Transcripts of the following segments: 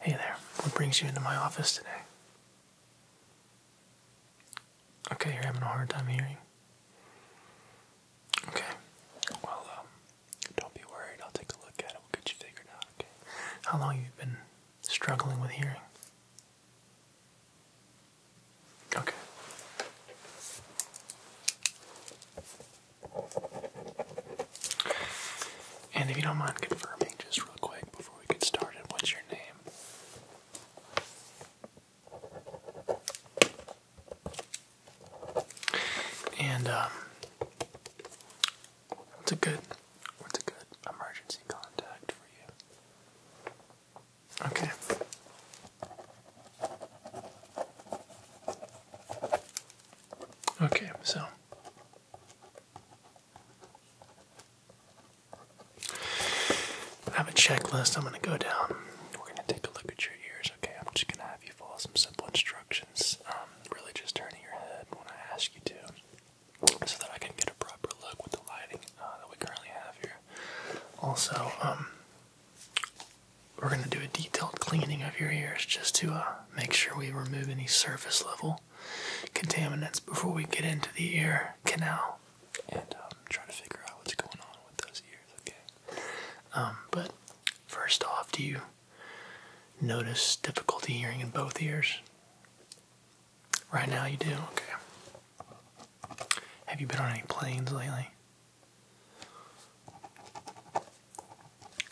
Hey there, what brings you into my office today? Okay, you're having a hard time hearing. Okay, well, um, don't be worried. I'll take a look at it. We'll get you figured out, okay? How long have you been struggling with hearing? Okay. And if you don't mind confirming just real quick before we get started, what's your name? And um, what's a good what's a good emergency contact for you? Okay. Okay, so I have a checklist I'm going to go down. We're going to take a look at your ears, okay? I'm just going to have you follow some simple instructions. Um, really just turning your head when I ask you to so that I can get a proper look with the lighting uh, that we currently have here. Also, um, we're going to do a detailed cleaning of your ears just to uh, make sure we remove any surface level contaminants before we get into the ear canal and um, try to figure out what's going on with those ears, okay? Um, but first off, do you notice difficulty hearing in both ears? Right now you do? Okay. Have you been on any planes lately?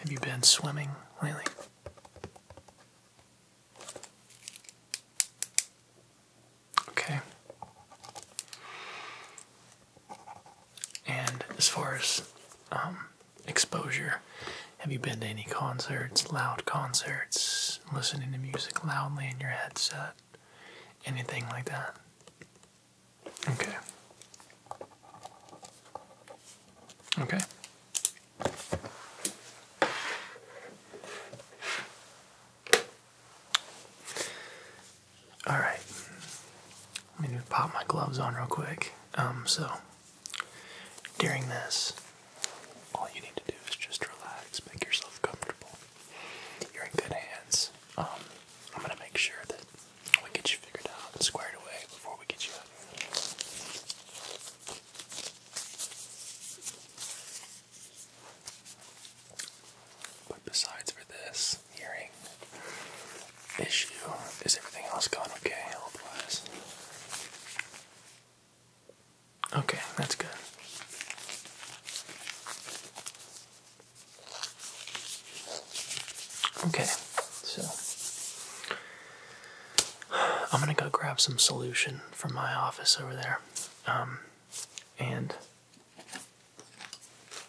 Have you been swimming lately? Okay. And as far as um, exposure, have you been to any concerts, loud concerts, listening to music loudly in your headset, anything like that? Okay. Okay. All right. Let me pop my gloves on real quick. Um, so during this, all you need to do is just relax, make yourself comfortable. You're in good hands. Um, I'm gonna make sure that We'll get you figured out and squared away before we get you out here. But besides for this hearing issue, is everything else going okay Otherwise, Okay, that's good. Okay, so I'm gonna go grab some solution from my office over there, um, and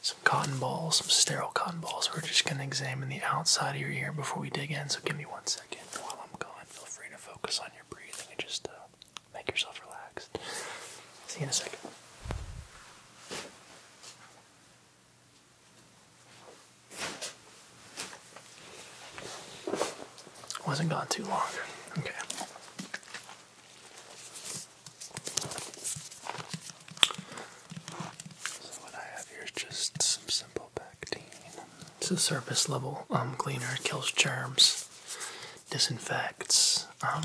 some cotton balls, some sterile cotton balls. We're just gonna examine the outside of your ear before we dig in. So give me one second while I'm gone. Feel free to focus on your breathing and just uh, make yourself relaxed. See you in a second. Wasn't gone too long. Okay. So what I have here is just some simple Pectine. It's a surface level um cleaner. It kills germs, disinfects. Um,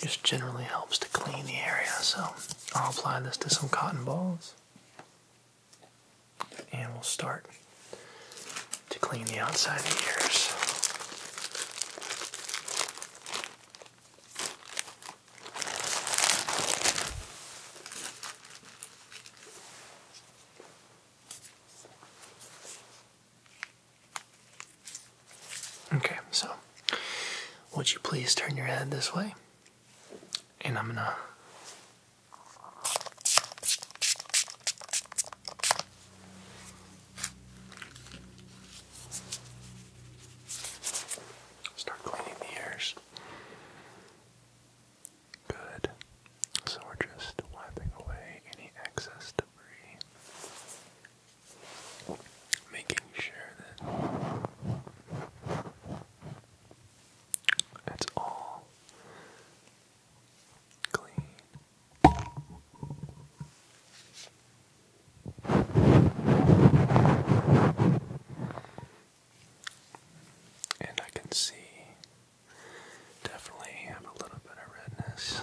just generally helps to clean the area, so I'll apply this to some cotton balls and we'll start to clean the outside of the ears. Okay, so would you please turn your head this way? And I'm gonna. Start cleaning the ears. Good. So we're just wiping away any excess debris making sure that it's all clean. And I can see definitely have a little bit of redness.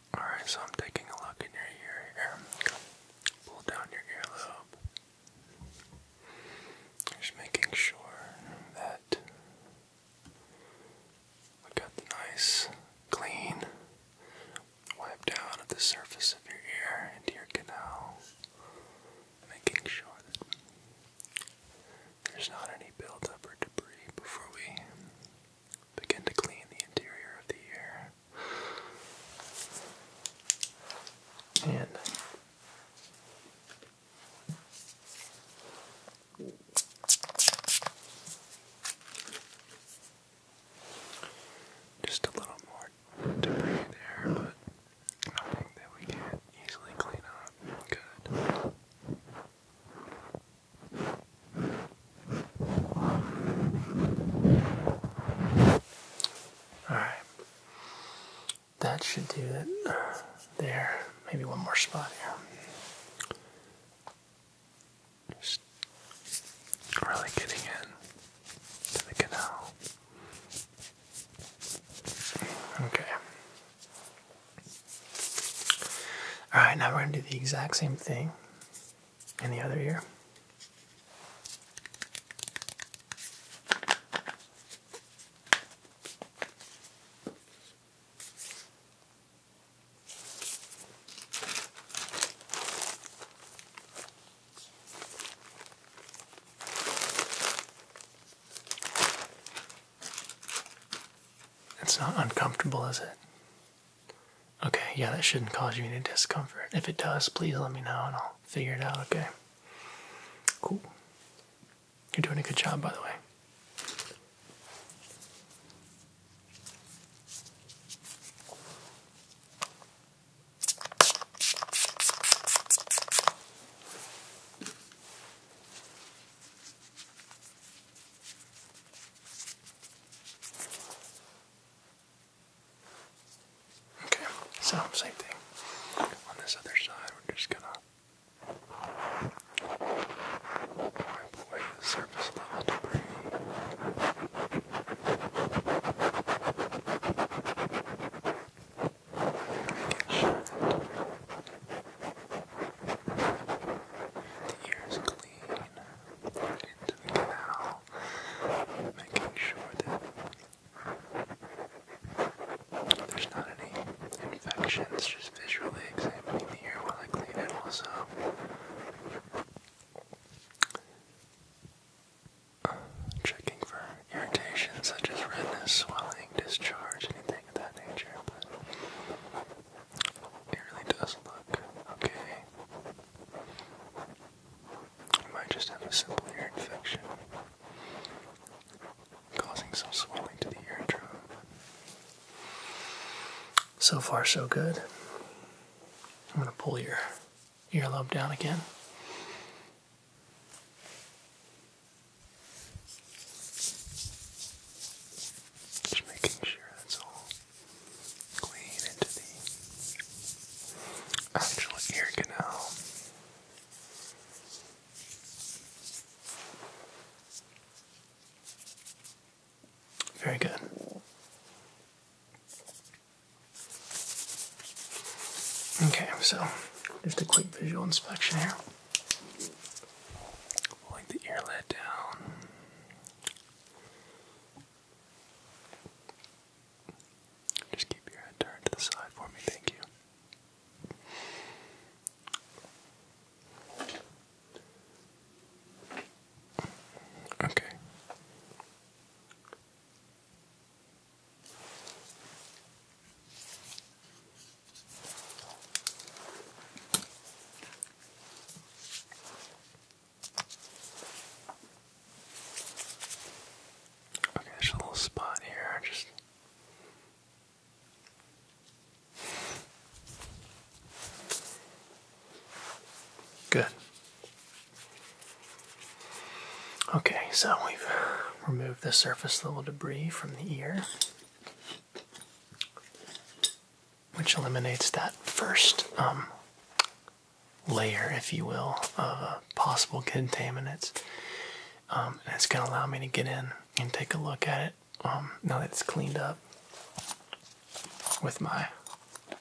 Alright, so I'm taking a look in your ear here. Pull down your earlobe. Just making sure that we got the nice, clean wipe down of the surface of your ear into your canal. Making sure that there's not any buildup or debris before we Begin to clean the interior of the ear. And just a little more debris there, but nothing that we can't easily clean up. Good. Alright. That should do it. There. Maybe one more spot here. really getting in to the canal. Okay. Alright, now we're going to do the exact same thing in the other ear. It's not uncomfortable, is it? Okay, yeah, that shouldn't cause you any discomfort. If it does, please let me know and I'll figure it out, okay? Cool. You're doing a good job, by the way. Okay, so same thing. On this other side, we're just gonna wipe away the surface level debris. the ear is clean into the canal, making sure that there's not any infections, just visually examining the ear while I clean it also. Uh, checking for irritation such as redness, swelling, discharge, anything of that nature. It really does look okay. I might just have a simple ear infection causing some swelling to the eardrum. So far, so good. I'm going to pull your earlobe down again. Just making sure that's all clean into the actual ear canal. Very good. Okay, so just a quick visual inspection here. Pulling the ear down. Just keep your head turned to the side for me, thank you. Okay. Okay, there's a little spot here. Just good. Okay, so we've removed the surface level debris from the ear which eliminates that first um, layer, if you will, of uh, possible contaminants. Um, and it's going to allow me to get in and take a look at it um, now that it's cleaned up with my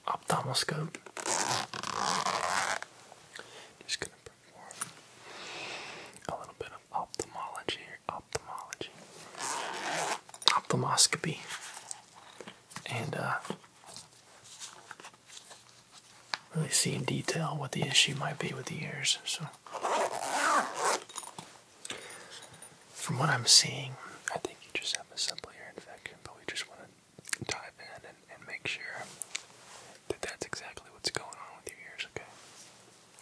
ophthalmoscope. Just going to perform a little bit of ophthalmology ophthalmology, ophthalmoscopy, and uh, really see in detail what the issue might be with the ears. So, from what I'm seeing, I think you just have a simple ear infection, but we just want to dive in and make sure that that's exactly what's going on with your ears, okay?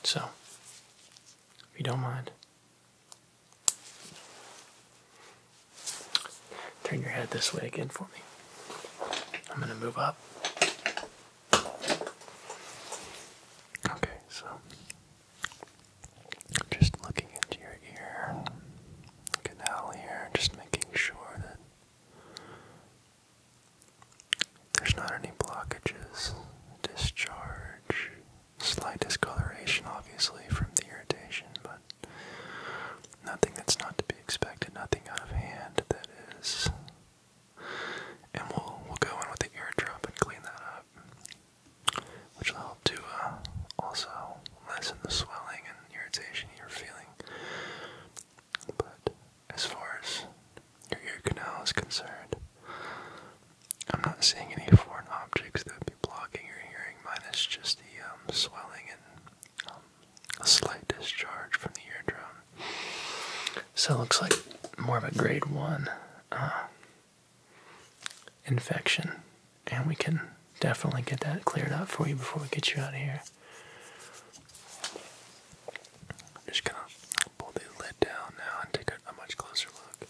So, if you don't mind, Turn your head this way again for me. I'm going to move up. Okay, so just looking into your ear canal here, just making sure that there's not any blockages, discharge, Slight discoloration, obviously, from the irritation, but nothing that's not to be expected, nothing out of hand that is. And we'll, we'll go in with the eardrop and clean that up, which will help to uh, also lessen the swelling and irritation you're feeling. But as far as your ear canal is concerned, I'm not seeing any foreign objects that would be blocking your hearing, minus just the um, swelling and um, a slight discharge from the eardrum. So it looks like more of a grade one uh, infection, and we can definitely get that cleared up for you before we get you out of here. I'm just gonna pull the lid down now and take a much closer look.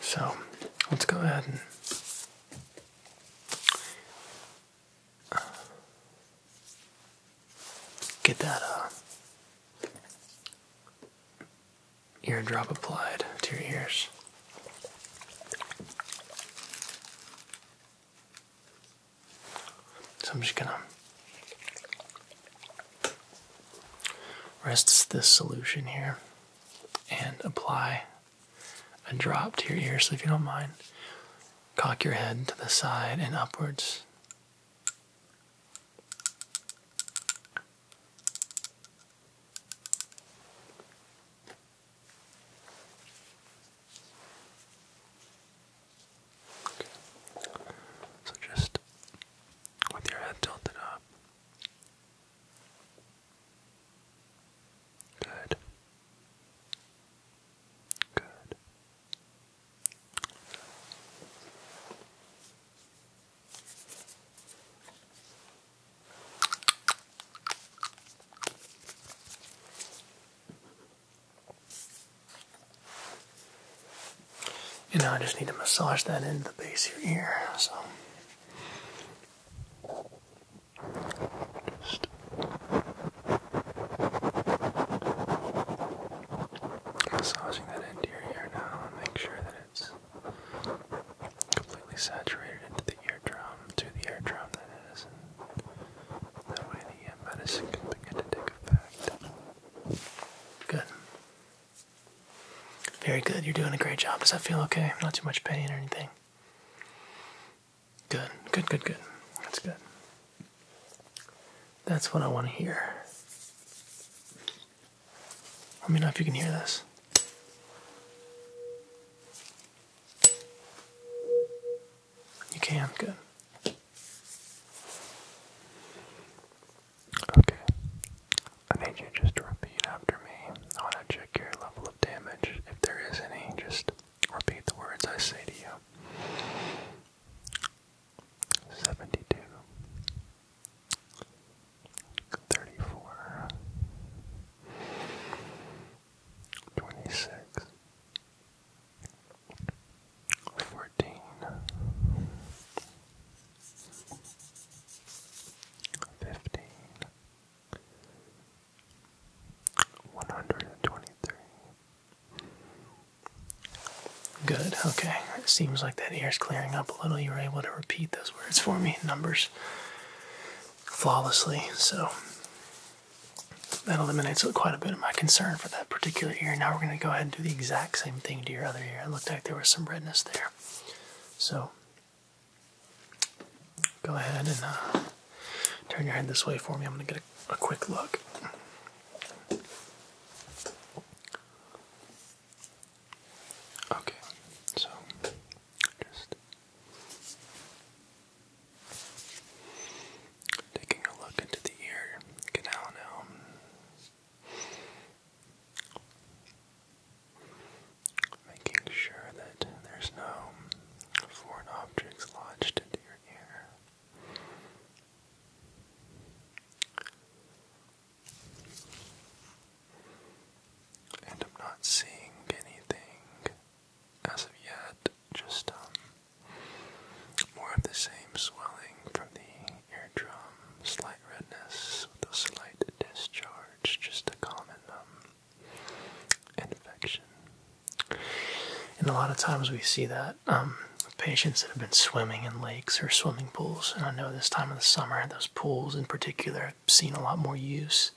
So let's go ahead and uh, get that uh, ear drop applied to your ears. So I'm just gonna Rest this solution here and apply a drop to your ear. So if you don't mind, cock your head to the side and upwards. So just with your head tilted up. Good. Good. And now I just need to massage that into the base of your ear. So just massaging that into your ear now make sure that it's completely saturated into the eardrum, to the eardrum that that way the uh, medicine can begin to take effect. Good. Very good. You're doing a great job. Does that feel okay? Not too much pain or anything? Good. Good, good, good. That's good. That's what I want to hear. Let me know if you can hear this. You can, good. Okay. I need you just repeat after me. I want to check your level of damage. If there is any, just repeat the words I say to you. 72 fourteen, fifteen, one hundred and twenty-three. Good, okay. It seems like that ear is clearing up a little. You were able to repeat those words for me, numbers flawlessly, so that eliminates quite a bit of my concern for that particular ear. Now we're going to go ahead and do the exact same thing to your other ear looked like there was some redness there. So go ahead and uh, turn your head this way for me. I'm going to get a, a quick look. Okay, so just taking a look into the ear canal now. Making sure that there's no foreign objects lodged into your ear. And I'm not seeing anything as of yet, just um, more of the same swelling from the eardrum, slight redness with a slight discharge, just a common um, infection. And a lot of times we see that um, patients that have been swimming in lakes or swimming pools. And I know this time of the summer, those pools in particular have seen a lot more use.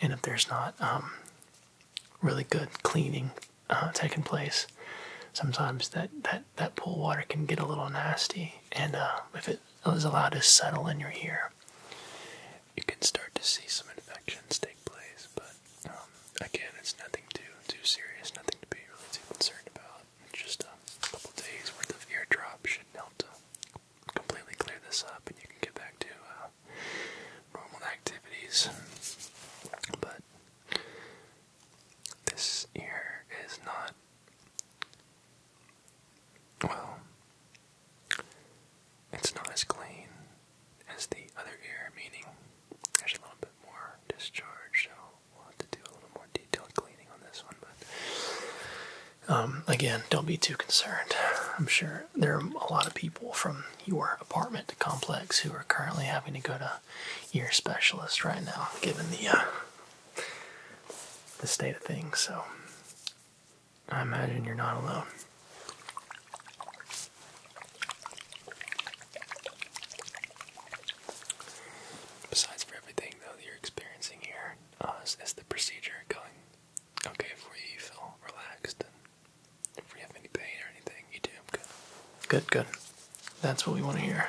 And if there's not um, really good cleaning uh, taking place, sometimes that that that pool water can get a little nasty, and uh, if it is allowed to settle in your ear, you can start to see some infections take place. But um, again, it's nothing too too serious, nothing to be really too concerned about. just a couple days worth of eardrops should help to completely clear this up, and you can get back to uh, normal activities. But this ear is not. Well, it's not as clean as the other ear, meaning there's a little bit more discharge, so we'll have to do a little more detailed cleaning on this one. But um, again, don't be too concerned. I'm sure there are a lot of people from your apartment complex who are currently having to go to ear specialist right now, given the uh, the state of things. So I imagine you're not alone. Besides for everything though that you're experiencing here, uh, the procedure going okay for you? feel relaxed, and if we have any pain or anything, you do. Good, good, good. That's what we want to hear.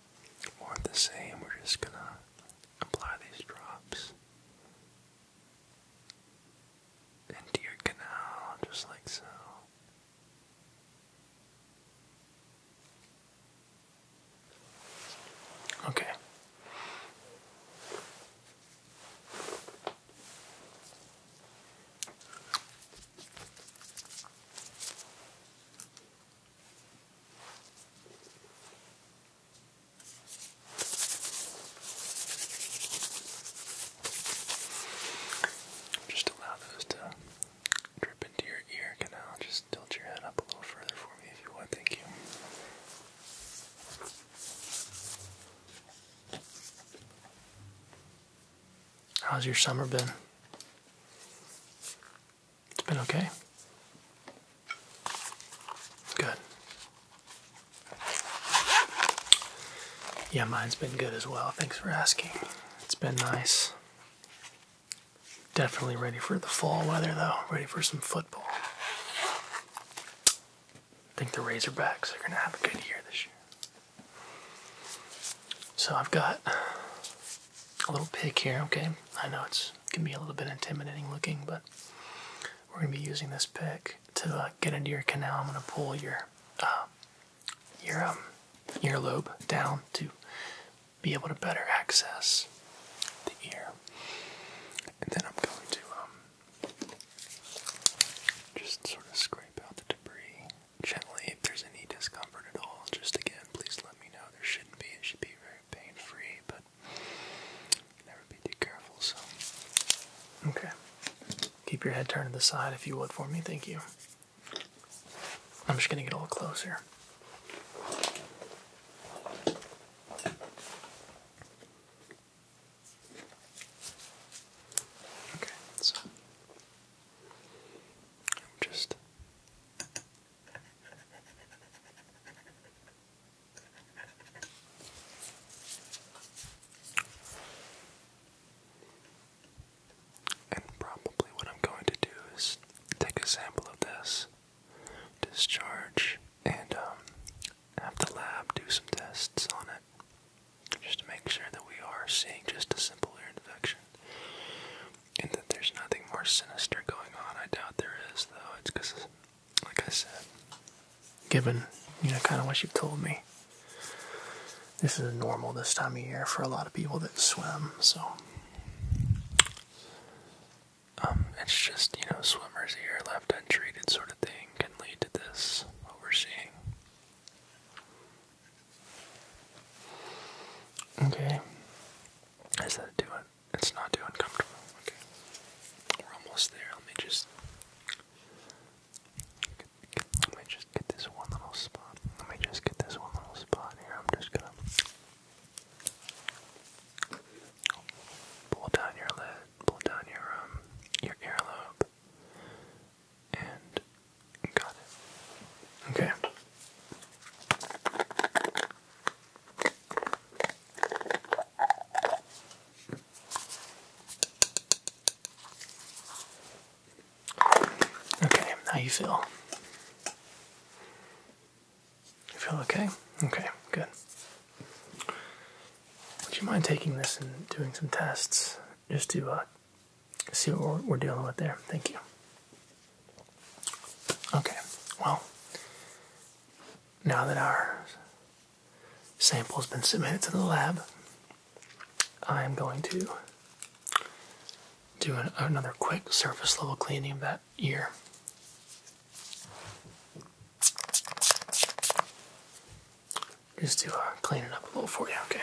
more the same. We're just gonna apply these drops into your canal, just like so. Okay. Just allow those to drip into your ear canal. Just tilt your head up a little further for me if you want. Thank you. How's your summer been? It's been okay. Good. Yeah, mine's been good as well. Thanks for asking. It's been nice. Definitely ready for the fall weather though. Ready for some football. I think the Razorbacks are going to have a good year this year. So I've got a little pick here, okay? I know it's it can be a little bit intimidating looking, but we're going to be using this pick to uh, get into your canal. I'm going to pull your um, your earlobe um, down to be able to better access the ear. And then I'm going to um, just sort of scrape out the debris gently if there's any discomfort at all. Just again, please let me know. There shouldn't be. It should be very pain free, but never be too careful. So, okay. Keep your head turned to the side if you would for me. Thank you. I'm just gonna get a little closer. Okay, so I'm just and probably what I'm going to do is take a sample of this, discharge, and um, have the lab do some tests on it just to make sure that we are seeing just a simple ear infection and that there's nothing more sinister going on. I doubt there is, though. It's because, like I said, given you know kind of what you've told me, this is normal this time of year for a lot of people that swim. So, um, it's just you know swimmers here left untreated sort of thing can lead to this. What we're seeing. Okay. Is that doing? It's not too uncomfortable. Okay. We're almost there. Let me just. Let me just get this one little spot. Let me just get this one little spot here. I'm just gonna pull down your lid, pull down your um your earlobe, and got it. Okay. Okay, how you feel? You feel okay? Okay, good. Would you mind taking this and doing some tests just to see what we're dealing with there. Thank you. Okay, well, now that our sample has been submitted to the lab, I am going to do another quick surface level cleaning of that ear. Just to uh, clean it up a little for you, okay?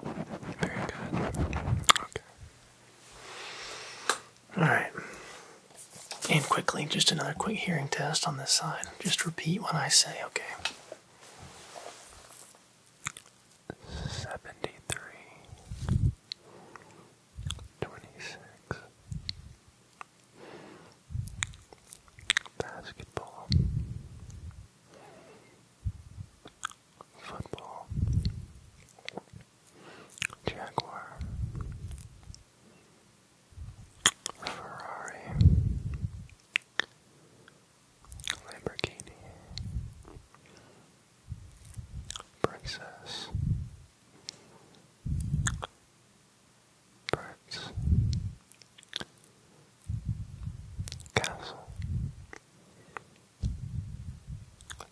Very good. Okay. Alright. And quickly, just another quick hearing test on this side. Just repeat when I say, okay. 73 Basketball Football. Jaguar. Ferrari. Lamborghini. Princess. Birds castle,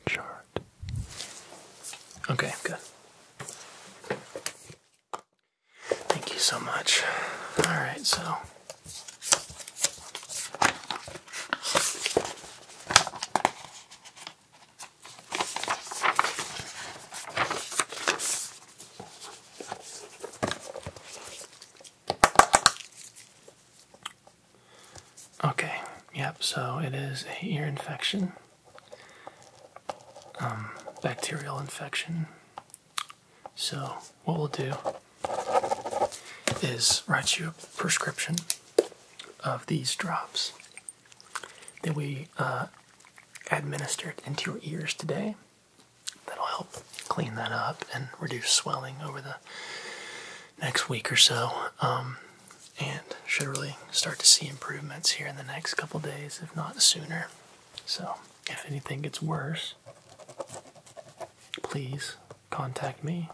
chart. Okay, good. Thank you so much. All right, so. Okay, yep, so it is a ear infection. Um, bacterial infection. So, what we'll do is write you a prescription of these drops that we uh, administer it into your ears today that'll help clean that up and reduce swelling over the next week or so. Um, and should really start to see improvements here in the next couple days, if not sooner. So, if anything gets worse, please contact me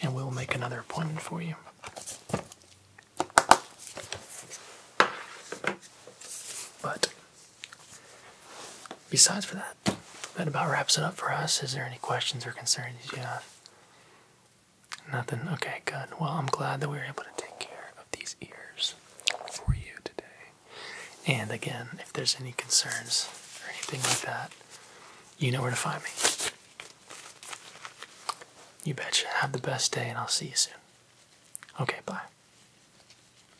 and we'll make another appointment for you. But Besides for that, that about wraps it up for us. Is there any questions or concerns you have? Nothing. Okay, good. Well, I'm glad that we were able to take care of these ears for you today. And again, if there's any concerns or anything like that, you know where to find me. You betcha. Have the best day, and I'll see you soon. Okay, bye.